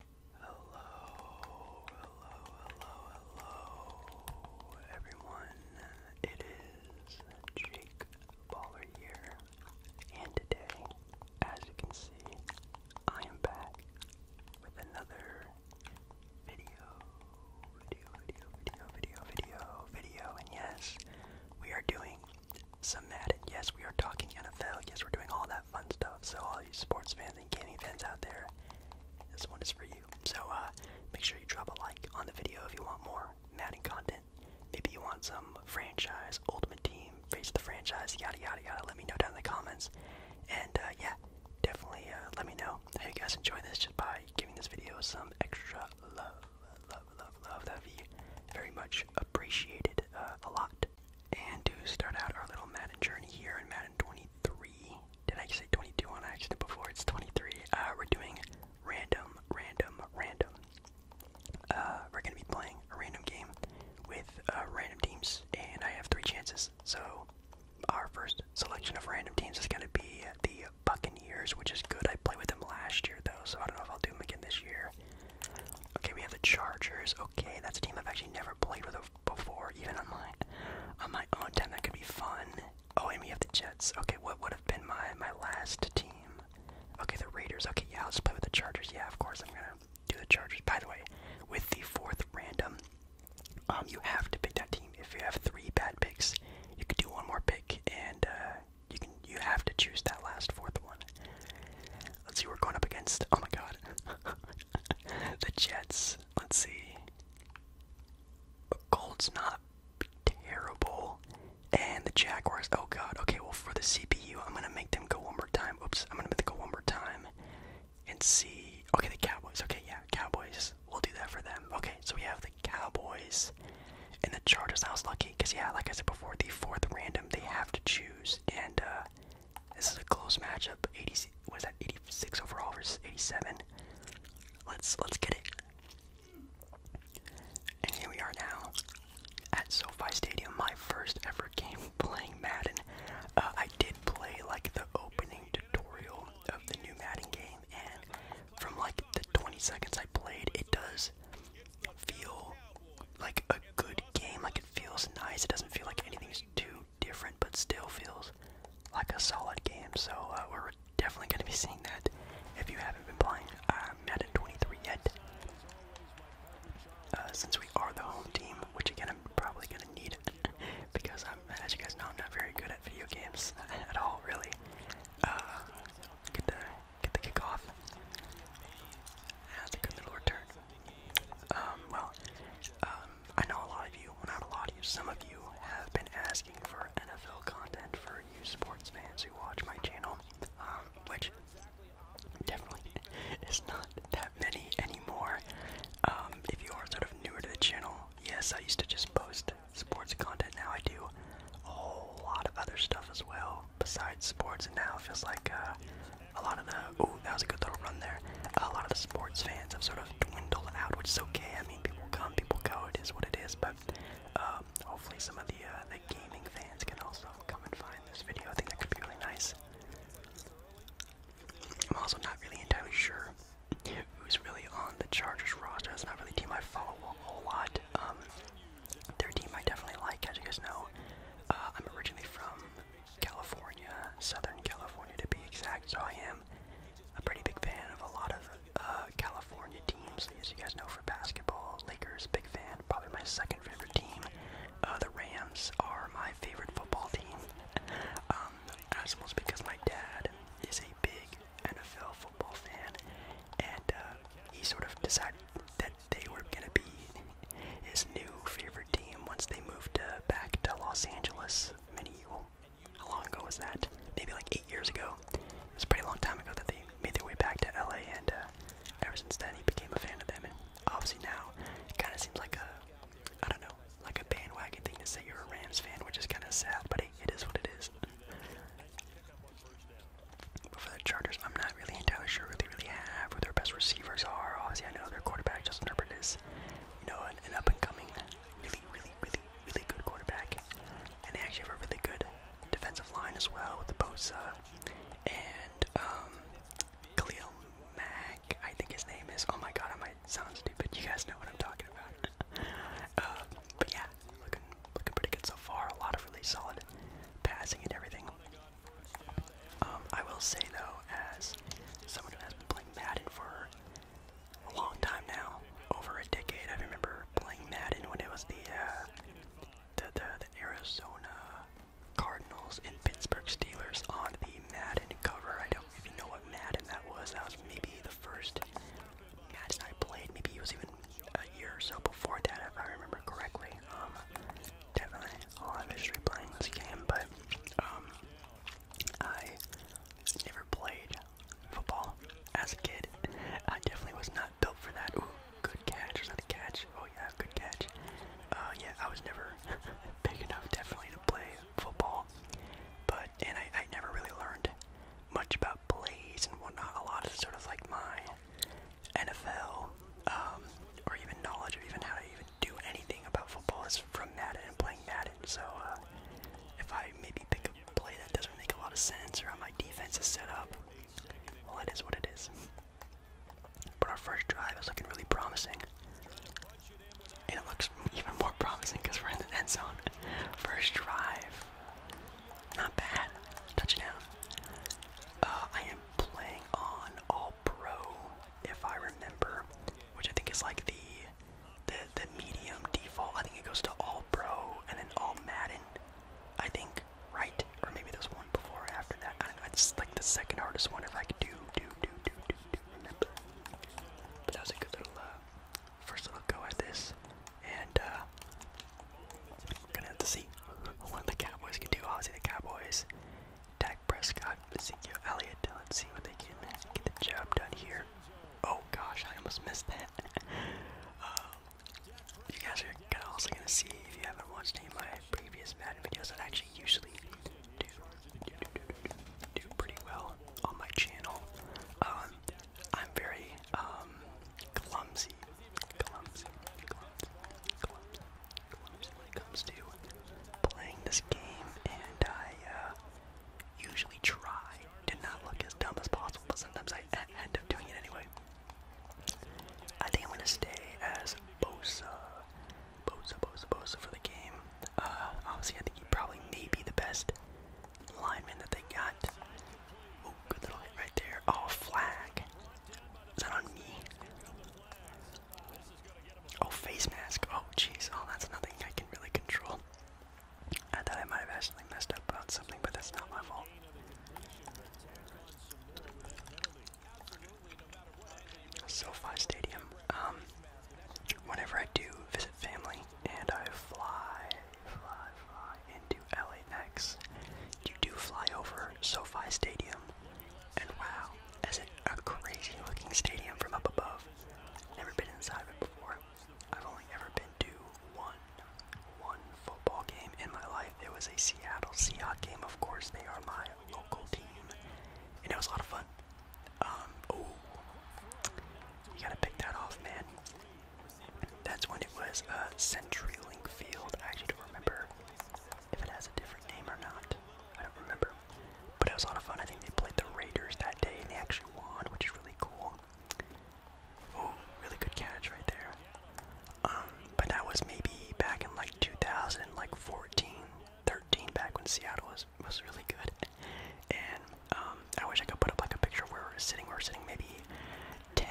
Hello, hello, hello, hello, everyone. It is Jake Baller here, and today, as you can see, I am back with another video, video, video, video, video, video, video, and yes, we are doing some Madden. Yes, we are talking NFL. Yes, we're doing all that fun stuff. So all you sports fans think gaming fans out there, this one is for you. So uh, make sure you drop a like on the video if you want more Madden content. Maybe you want some franchise, Ultimate Team, Face the Franchise, yada yada yada. Let me know down in the comments. And uh, yeah, definitely uh, let me know how you guys enjoy this just by giving this video some extra love, love, love, love. That would be very much appreciated a lot. And to start out our little Madden journey here in Madden 23, did I say 22 on accident before? It's 23. Uh, we're doing random, random, random. Uh, we're gonna be playing a random game with uh, random teams, and I have three chances. So our first selection of random teams is gonna be the Buccaneers, which is good. I played with them last year though, so I don't know if I'll do them again this year. Okay, we have the Chargers. Okay, that's a team I've actually never played with before, even on on my own time. That could be fun. Oh, and we the Jets. Okay, what would have been my my last team? Okay, the Raiders. Okay, yeah, let's play with the Chargers. Yeah, of course I'm gonna do the Chargers. By the way, with the fourth random, um, you have to pick that team. If you have three bad picks, you could do one more pick, and uh, you can you have to choose that last fourth one. Let's see who we're going up against. Oh my god. the Jets. Let's see. Colts not terrible. And the Jaguars. Oh god. Okay, well for the CPU, I'm gonna make them go one more time. Oops, I'm gonna make them go one more time and see. Okay, the Cowboys. Okay, yeah, Cowboys. We'll do that for them. Okay, so we have the Cowboys and the Chargers. I was lucky because yeah, like I said before, the fourth random they have to choose, and uh, this is a close matchup. 80 was that 86 overall versus 87. Let's let's get it. And here we are now at SoFi Stadium. My first ever game playing Madden. Uh, I did play like the opening tutorial of the new Madden game, and from like the 20 seconds I played, it does feel like a good game. Like it feels nice. It doesn't feel like anything's too different, but still feels like a solid game. So uh, we're definitely going to be seeing that if you haven't been playing uh, Madden 23 yet. Uh, since we are the home team, which again I'm probably going to need it because I'm, as you guys know, I'm not very good at video games at all, really. Uh, get the get the kickoff. That's a good little return. Um, well, um, I know a lot of you, well not a lot of you, some of you have been asking for NFL content for you sports fans who watch my channel, um, which definitely is not that many anymore. if you are sort of newer to the channel, yes, I used to just post sports content, now I do a whole lot of other stuff as well besides sports, and now it feels like, uh, a lot of the oh that was a good little run there. A lot of the sports fans have sort of dwindled out, which is okay. I mean, people come, people go. It is what it is. But um, hopefully, some of the uh, the gaming fans can also come and find this video. I think that could be really nice. I'm also not really entirely sure who's really on the Chargers roster. That's not really a team I follow a whole lot. Um, their team I definitely like, as you guys know. Uh, I'm originally from California, Southern California to be exact. So I am a pretty big fan of a lot of uh, California teams. As you guys know, for basketball, Lakers, big fan. Probably my second favorite team. Uh, the Rams are my favorite football team. Um, as well as because my dad is a big NFL football fan, and uh, he sort of decided that they were gonna be his new favorite team once they moved back to Los Angeles. Many, well, how long ago was that? Maybe like eight years ago. It was a pretty long time ago that they made their way back to LA, and uh, ever since then he became a fan of them. And obviously now, it kind of seems like a, I don't know, like a bandwagon thing to say you're a Rams fan, which is kind of sad, but it is what it is. But for the Chargers, I'm not really entirely sure they really have, who their best receivers are. Obviously, I know their quarterback Justin Herbert is, you know, an, an up-and-coming, really, really, really, really good quarterback, and they actually have a really good defensive line as well with the Bosa and um, Khalil Mack. I think his name is. Oh my God, I might sound stupid. You guys know what I'm talking about. uh, but yeah, looking looking pretty good so far. A lot of really solid passing and everything. Um, I will say though, as someone who has been playing Madden for a long time now, over a decade, I remember playing Madden when it was the uh, the, the the Arizona Cardinals and Pittsburgh Steelers on the Madden cover. I don't even know what Madden that was. That was maybe the first Madden I played. Maybe it was even a year or so before that, if I remember correctly. Um, definitely a lot of history playing this game, but um, I never played football as a kid. I definitely was not built for that. Ooh, good catch. Was catch? Oh yeah, good catch. Uh, yeah, I was never big enough definitely to play football, but and I, I never really learned much about plays and whatnot. A lot of sort of like my NFL um, or even knowledge of even how to even do anything about football is from Madden and playing Madden. So uh, if I maybe pick a play that doesn't make a lot of sense or how my defense is set up, well, it is what it is. But our first drive is looking really promising. And it looks even more promising because we're in the end zone. First drive. Not bad. Touchdown. Uh, I am playing on all Pro, if I remember, which I think is like the the the medium default. I think it goes to all Pro and then all Madden. I think, right? Or maybe there's one before or after that. I don't know. It's like the second hardest one if I could do do do do do do remember. But that was a good little uh, first little go at this, and uh, gonna have to see what the Cowboys can do. Obviously, the Cowboys. Dak Prescott, Ezekiel Elliott, let's see what they can get the job done here. Oh gosh, I almost missed that. Um, you guys are also gonna see if you haven't watched any of my previous mad videos I actually usually do pretty well on my channel. Um, I'm very um, clumsy, when it comes to playing this game, and I uh, usually try to not look as dumb as possible, but sometimes I end up doing it anyway. I think I'm gonna stay as Bosa, Bosa, Bosa, Bosa for the game. Uh, obviously, I think he probably may be the best lineman that they got. Oh, good little hit right there. Oh, flag. Is on me? Oh, face mask. Oh, jeez. Oh, that's nothing I can really control. I thought I might have actually messed up about something, but that's not my fault. SoFi Stadium. Um, whenever I do visit family and I fly into LAX, you do fly over SoFi Stadium. And wow, is it a crazy looking stadium from up above? Never been inside of it before. I've only ever been to one one football game in my life. It was a Seattle Seahawks game, of course. They are my local team. And it was a lot of fun. Um, oh. You gotta pick that off, man. That's when it was uh, CenturyLink Field. I actually don't remember if it has a different name or not. I don't remember. But it was a lot of fun. I think they played the Raiders that day and they actually won, which is really cool. Oh, really good catch right there. Um, but that was maybe back in like 2000, 13, back when Seattle was was really good. And um, I wish I could put up like a picture of where we are sitting. We are sitting maybe 10,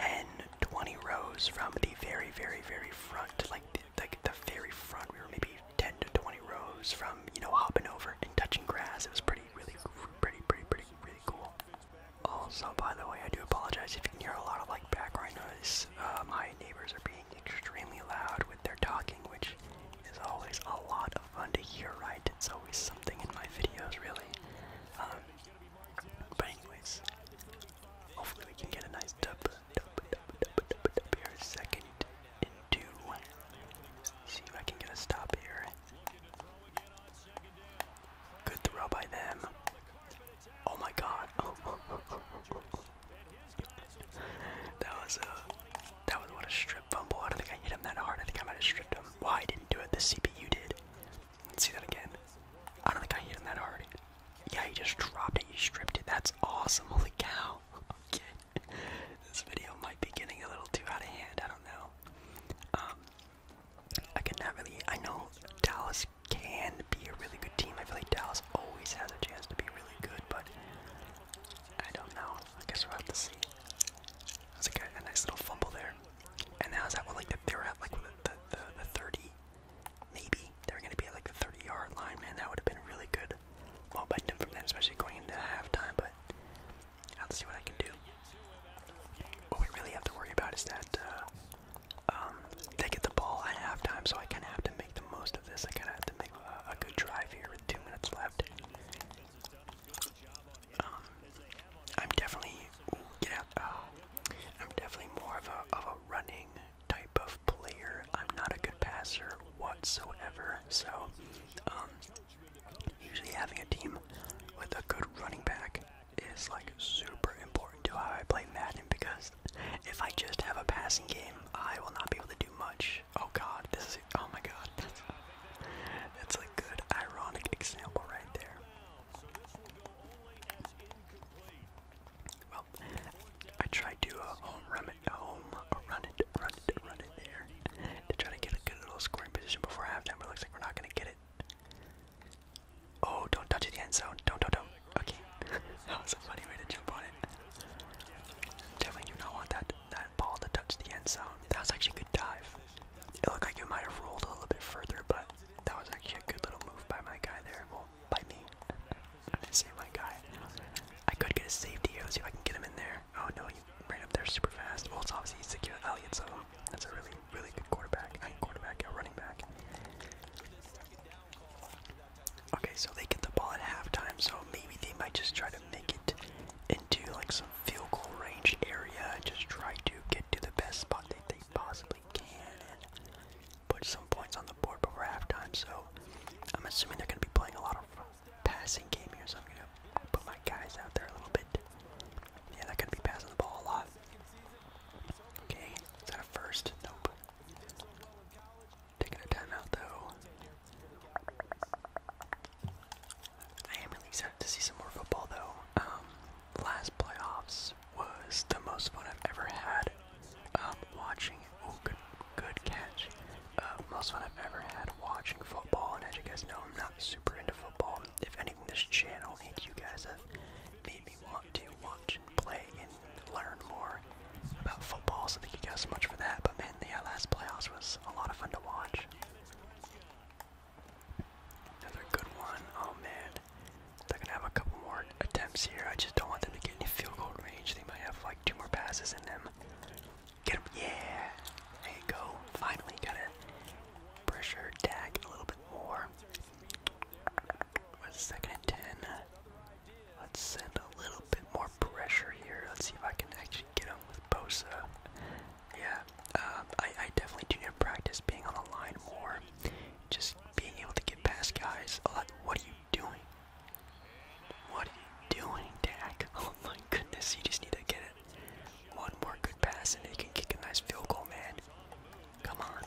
20 rows from the very, very, very front, like like the very front. We were maybe 10 to 20 rows from you know hopping over and touching grass. It was pretty, really, pretty, pretty, pretty, really cool. Also, by the way, I do apologize if you can hear a lot of like background noise. Uh, my neighbors are being extremely loud with their talking, which is always a lot of fun to hear. Right? It's always something in my videos, really. Um, but anyways, hopefully we can get a nice dub here, second and See if I can get a stop here. Good throw by them. Oh my god. That was a that was what a strip fumble. I don't think I hit him that hard. I think I might have stripped him. Why I didn't do it? The CPU did. Let's see that again. I don't think I hit him that hard. Yeah, he just dropped it. He stripped it. That's awesome. Holy cow. Okay. This video might be getting a little too out of hand. I don't know. Um, I can not really. I know Dallas can be a really good team. I feel like Dallas always has a chance to be really good, but I don't know. I guess we'll have to see. That's like a, nice little fumble there. And how's that one? Like, the, they are at like the, the, the 30 maybe they're going to be at like a 30 yard line, man. That would have been really good momentum from that, especially going into halftime. But I'll see what I can do. What we really have to worry about is that uh, um, they get the ball at halftime, so I kind of have to make the most of this. I kind of have to make a, good drive here with two minutes left. Um, I'm definitely ooh, uh, I'm definitely more of a of a running type of player. I'm not a good passer whatsoever. So, um, usually having a team with a good running back is like super important to how I play Madden because if I just have a passing game, I will not be able to do much. Oh god, this is oh my god. that's a good ironic example right there. I tried to uh, uh, run it, run it, run it, there to try to get a good little scoring position before halftime, but it looks like we're not gonna get it. Oh, don't touch it, the end zone. Don't, don't, don't. Okay, that was a funny way to jump on it. Definitely do not want that that ball to touch the end zone. That was actually a good dive. It looked like it might have rolled a little bit further, but that was actually a good little move by my guy there by me. Save my guy. I could get a safety here. Let's see if I can get him in there. Oh no, he ran up there super fast. Well, it's obviously he secured Elliott, so that's a really, really good quarterback. quarterback, running back. Okay, so they get the ball at halftime, so maybe they might just try to make it into like some field goal range area and just try to get to the best spot that they possibly can put some points on the board before halftime, so I'm assuming they're going to be playing a lot of passing game here, so I'm going to put my guys out there a little bit. Yeah, they're going to be passing the ball a lot. Okay, is that a first? Nope. Taking a timeout, though. I am really excited to see some more football, though. Um, last playoffs was the most fun I've ever had um, watching. Oh, good, good catch. Uh, most fun I've ever had watching football, and as you guys know, I'm not super into football. If anything, this channel and you guys have made me want to watch play and learn more about football. So thank you guys so much for that. But man, the yeah, last playoffs was a lot of fun to watch. Another good one. Oh man. They're gonna have a couple more attempts here. I just don't want them to get any field goal range. They might have like two more passes in them, Get him, yeah. There you go. Finally, gotta pressure tag a little bit more. second and ten? Let's send a little bit more pressure here. Let's see if I can actually get him with Bosa. Yeah, um, I, I definitely do need to practice being on the line more. Just being able to get past guys. what do you doing? What are you doing, Dak? Oh my goodness, you just need to get it. One more good pass and they can kick a nice field goal, man. Come on.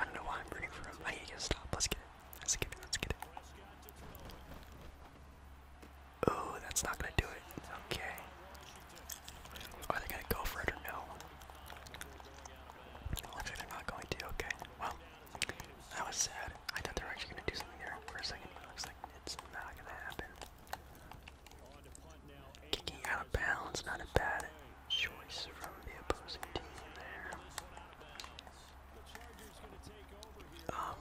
I don't know why I'm rooting for him. I need to stop. Let's get it. Let's get it. Let's get it. Oh, that's not gonna do it. Okay. Are they gonna go for it or no? Looks like they're not going to. Okay. Well, that was sad. I thought they were actually gonna do something there for a second, but it looks like it's not gonna happen. Kicking out of bounds, not a bad choice from the opposing team there. Um,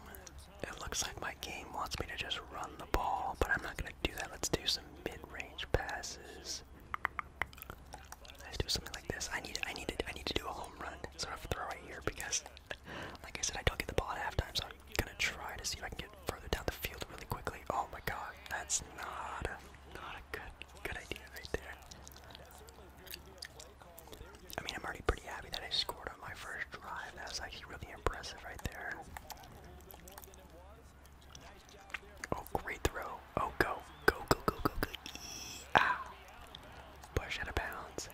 it looks like my game wants me to just run the ball, but I'm not gonna do that. Let's do some mid-range passes. Let's do something like this. I need I need to I need to do a home run sort of throw right here because like I said I don't get the ball at halftime, so I'm gonna try to see if I can get further down the field really quickly. Oh my god, that's not a not a good good idea right there. I mean I'm already pretty happy that I scored on my first drive. That was actually really impressive right there. Oh, great throw. Oh, go. Go, go, go, go, go. Eee, ah. Push out of bounds.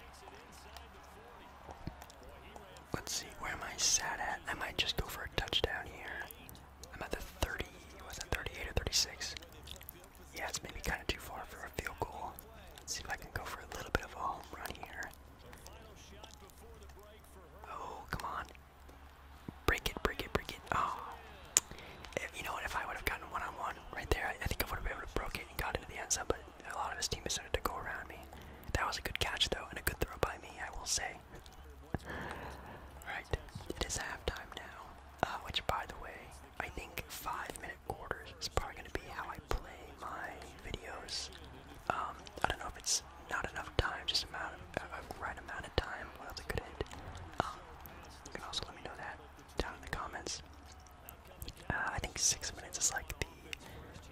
Let's see, where am I sat at? I might just go for a touchdown here. I'm at the 30, was it 38 or 36? Yeah, it's maybe kind of too far for a field goal. Let's see if I can go for a little bit of a home run here. Oh, come on. Break it, break it, break it. Oh, you know what? If I would have gotten one on one right there, I, think I would have been able to break it and got into the end zone. But a lot of his teammates started to go around me. That was a good catch though, and a good throw by me, I will say. Alright, it is halftime now. Uh, which, by the way, I think five-minute quarters is probably going to be how I play my videos. Um, I don't know if it's not enough time, just amount right amount of time. What else could hit? Um, you can also let me know that down in the comments. Uh, I think six minutes is like the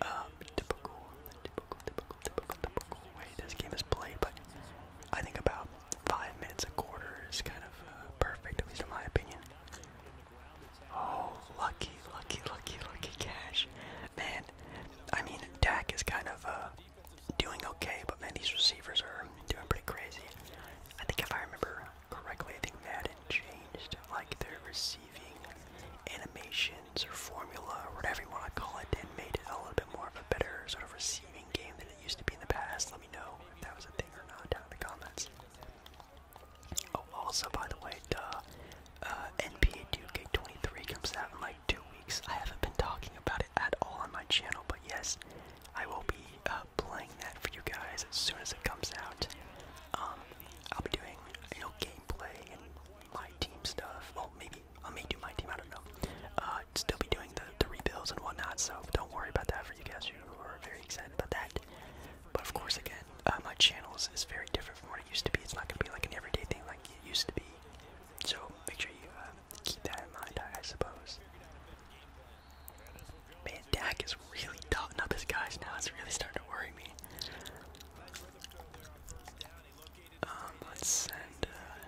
um, typical, typical, typical, typical, typical way this game is played, but I think about five minutes a quarter is kind of uh, perfect, at least in my opinion. Oh, lucky, lucky, lucky, lucky cash. Man, I mean, Dak is kind of uh, doing okay, but man, these receivers are doing pretty crazy. I think if I remember correctly, I think Madden changed like they're receiving animations or formula or whatever you want to call it and made it a little bit more of a better sort of receiving game than it used to be in the past. Let me know if that was a thing or not down in the comments. Oh, also, by the way, duh, uh, NBA Duke 23 comes out in like two weeks. I haven't been talking about it at all on my channel, but yes, I will be uh, playing that for you guys as soon as it comes out. Um, I'll be doing you know gameplay and my team stuff. Well, maybe I may do my team. I don't know. Uh, still be doing the, the rebuilds and whatnot. So don't worry about that for you guys who are very excited about that. But of course, again, uh, my channel is, very different from what it used to be. It's not gonna be like an everyday thing like it used to be. So make sure you uh, keep that in mind, I suppose. Man, Dak is really dotting up his guys now. It's really starting to worry me. Um, let's send uh,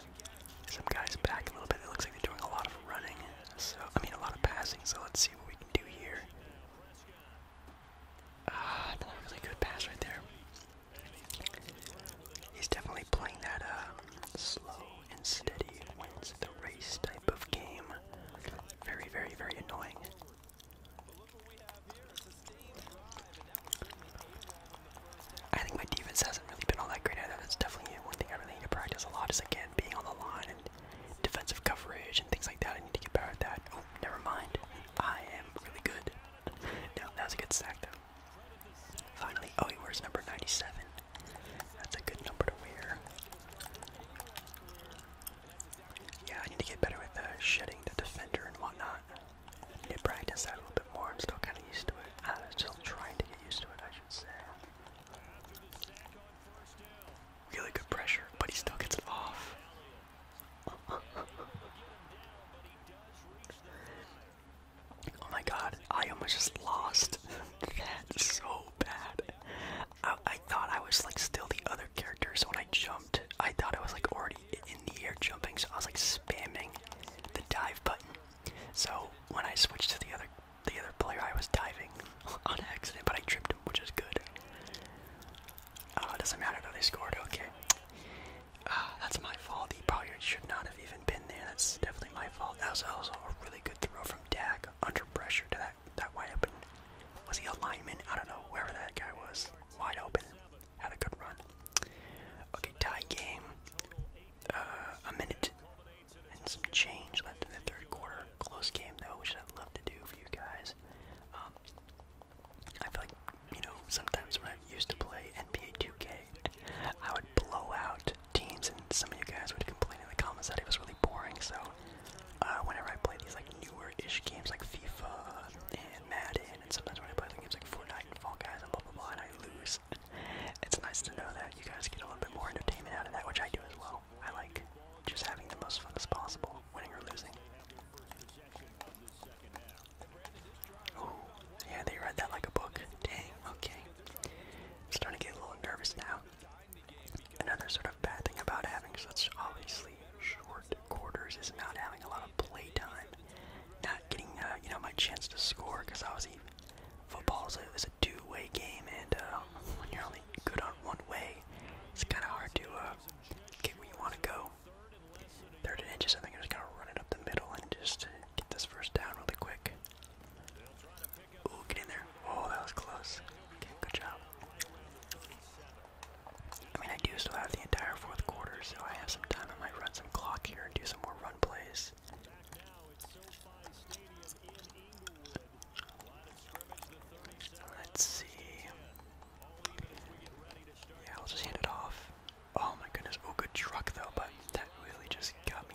some guys back a little bit. It looks like they doing a lot of running. So I mean, a lot of passing. So let's see what we can do here. Ah, really good pass right there. He's definitely playing that uh, slow and steady wins the race type of game. Very, very, very annoying. I think my defense hasn't really been all that great either. That's definitely one thing I really need to practice a lot is again being on the line and defensive coverage and things like that. I need to get better at that. Oh, never mind. I am really good. no, that was a good stack though. Finally, oh, he wears number 97. That's a good number to wear. Yeah, I need to get better with uh, shedding the defender and whatnot. need to practice that a little bit more. I'm still kind of used to it. I'm uh, still trying to get used to it, I should say. Really good pressure, but he still gets it off. Oh my god, I almost just lost That's so bad. I, I thought I was like still the other characters when I jumped, I thought I was like already in the air jumping, so I was like spamming the dive button. So when I switched to the other the other player, I was diving on accident, but I tripped him, which is good. Oh, it doesn't matter though, they scored, okay. Ah, that's my fault. The player should not have even been there. That's definitely my fault. That was also a really good throw from from under pressure to that that wide open. Was he a lineman? I don't know. Wherever that guy was, wide open, had a good run. Okay, tie game. Uh, a minute and some change left in the third quarter. Close game though, which I'd love to do for you guys. Um, I feel like you know sometimes when I used to play NBA 2K, I would blow out teams, and some of you guys would complain in the comments that it was really boring. So uh, whenever I play these like newer-ish games like FIFA and Madden, and sometimes when I play the games like Fortnite and Fall Guys and blah blah blah, and I lose, it's nice to know that you guys get a little bit more entertainment out of that, which I do as well. I like just having the most fun as possible, winning or losing. Oh, yeah, they read that like a book. Dang, okay. I'm starting to get a little nervous now. Another sort of bad thing about having such obviously short quarters is not having a lot of play time, not getting uh, you know my chance to score because obviously football is a, is a two-way game, and uh, when you're only good on one way, it's kind of hard to uh, get where you want to go. Third and inches, I think I'm just gonna run it up the middle and just uh, get this first down really quick. Ooh, get in there. Oh, that was close. good job. I mean, I do still have the entire fourth quarter, so I have some time. I might run some clock here and do some more run plays. Let's see. Yeah, I'll just hand it off. Oh my goodness. Oh, good truck though, but that really just got me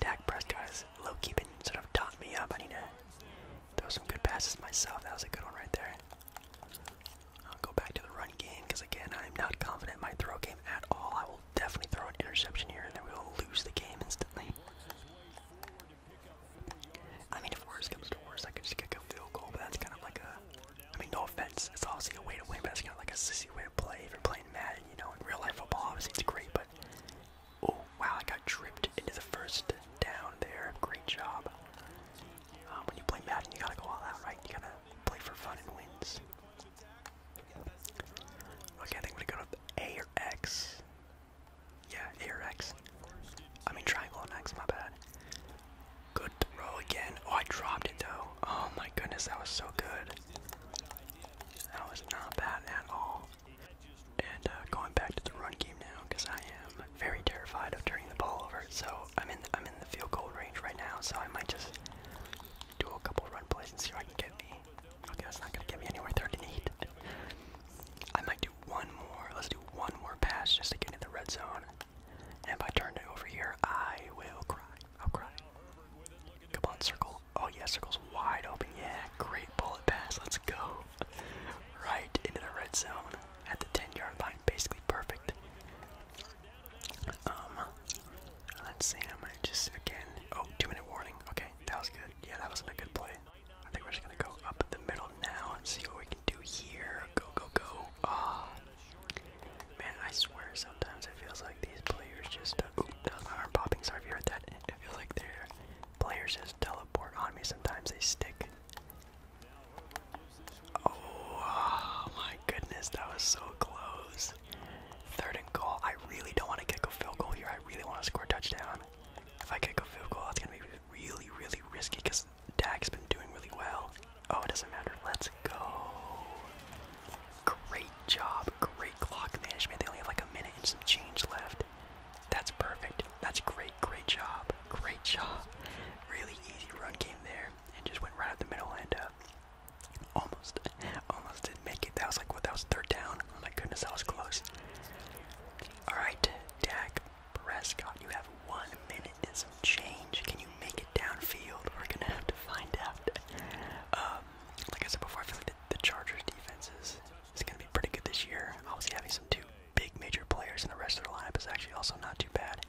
Dak Prescott has low-key sort of dotting me up. I need to throw some good passes myself. That was a good one right there. I'll go back to the run game because, again, I'm not confident in my throw game at all. I will definitely throw an interception here and then we will lose the game instantly. I mean, if worse comes to worse, I could just kick a field goal, but that's kind of like a. I mean, no offense, it's obviously a way to win, but it's kind of like a sissy way to play if you're playing Madden, you know. In real life football, obviously it's great, but Oh, wow, I got tripped into the first down there. Great job. Um, when you play Madden, you gotta go all out, right? You gotta play for fun and wins. Okay, I think we're to go to A or X. Yeah, A or X. I mean, triangle and X, my bad. Good throw again. Oh, I dropped it though. Oh my goodness, that was so good. That was not bad at all. And uh, going back to the run game now, because I am very terrified of turning the ball over. So I'm in the, I'm in the field goal range right now. So I might just do a couple run plays and see if I can get me. Okay, that's not gonna get me anywhere. Third eight. I might do one more. Let's do one more pass just to get in the red zone. And if I turn it over here, I will cry. I'll cry. Come on, circle. Oh yeah, circle's wide open. Yeah, great bullet pass. Let's go. Right into the red zone at the 10-yard line. Basically perfect. Um, let's see. I'm gonna just again. Oh, two-minute warning. Okay, that was good. Yeah, that was a good play. I think we're just gonna go up the middle now and see what we can do here. Go, go, go. Ah, man, I swear sometimes it feels like these players just. Uh, my arm popping. Sorry if you heard that. It feels like they're Players just teleport on me. Sometimes they stick. Oh, my goodness, that was so close. Third and goal. I really don't want to kick a field goal here. I really want to score a touchdown. If I kick a field goal, it's going to be really, really risky because Dak's been doing really well. Oh, it doesn't matter. Let's go. Great job. Great clock management. They only have like a minute and some change left. That's perfect. That's great. Great job. Great job. Really easy run game there, and just went right up the middle and uh, almost, almost didn't make it. That was like what? That was third down. Oh my goodness, that was close. All right, Dak Prescott, you have one minute and some change. Can you make it downfield? We're gonna have to find out. Um, like I said before, I feel like the, the Chargers' defense is it's going to be pretty good this year. Obviously, having some two big major players and the rest of the lineup is actually also not too bad.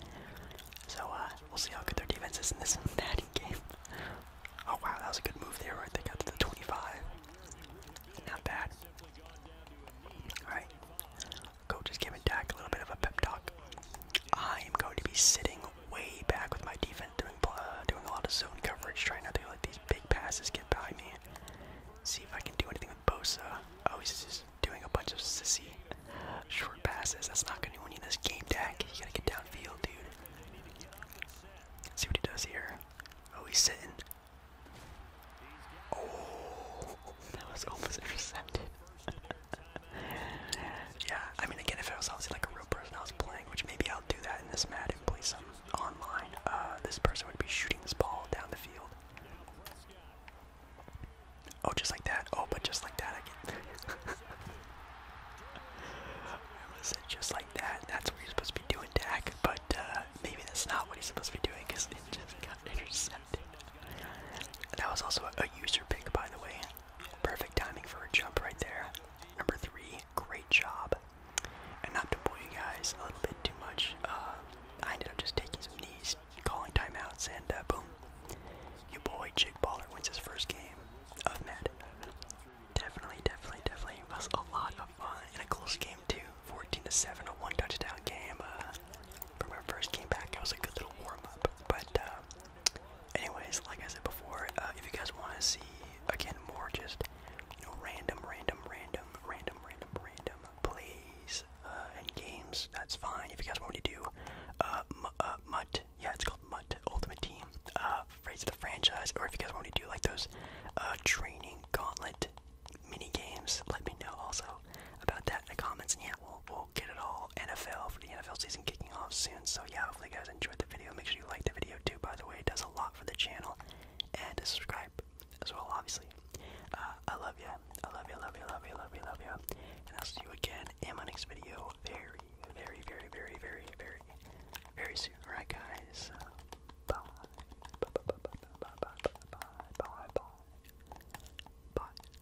So uh, we'll see how good their defense is in this batting game. Oh wow, that was a good move there, right? They got to the 25. Not bad. Alright. Coach giving Dak a little bit of a pep talk. I am going to be sitting way back with my defense different, doing uh, doing a lot of zone coverage, trying not to let these big passes get behind me. See if I can do anything with Bosa. Oh, he's just doing a bunch of sissy short passes. That's not going to win you this game, Dak. You gotta get downfield, dude. see what he does here. Oh, he's sitting. Oh, that was almost intercepted. yeah, I mean, again, if I was obviously like a real person I was playing, which maybe I'll do that in this Madden, play some online, uh, this person would be shooting this ball down the field. Oh, just like that. Oh, but just like that, I get. I said just like that. That's what you're supposed to be doing, Dak. But uh, maybe that's not what he's supposed to be doing because it just got intercepted. That was also a user pick, by the way. Perfect timing for a jump right there. Number three great job. And not to bore you guys a little bit too much, uh, I ended up just taking some knees, calling timeouts, and uh, boom, your boy Jake Baller wins his first game of Med. Definitely, definitely, definitely was a lot of fun in a close game too. 14 to 7, a one touchdown game. Uh, from our first game back, it was a good little warm up. But, anyways, like I said before, if you guys want to see again more just just random, random, random, random, random, random plays uh, and games. That's fine. If you guys want me to do uh, uh, Mutt, yeah, it's called Mutt Ultimate Team, uh, Phrase of the Franchise, or if you guys want me to do like those uh, training gauntlet mini games, let me know also about that in the comments. And yeah, we'll, we'll get it all NFL for the NFL season kicking off soon. So yeah, hopefully you guys enjoyed the video. Make sure you like the video too, by the way. It does a lot for the channel and subscribe as well, obviously. Uh, I love you. I love you. I love you. I love you. I love you. I love you. And I'll see you again in my next video very, very, very, very, very, very, very soon. Alright, guys. Uh, bye. Bye. Bye. Bye. Bye. Bye. Bye. Bye. Bye. Bye. Bye.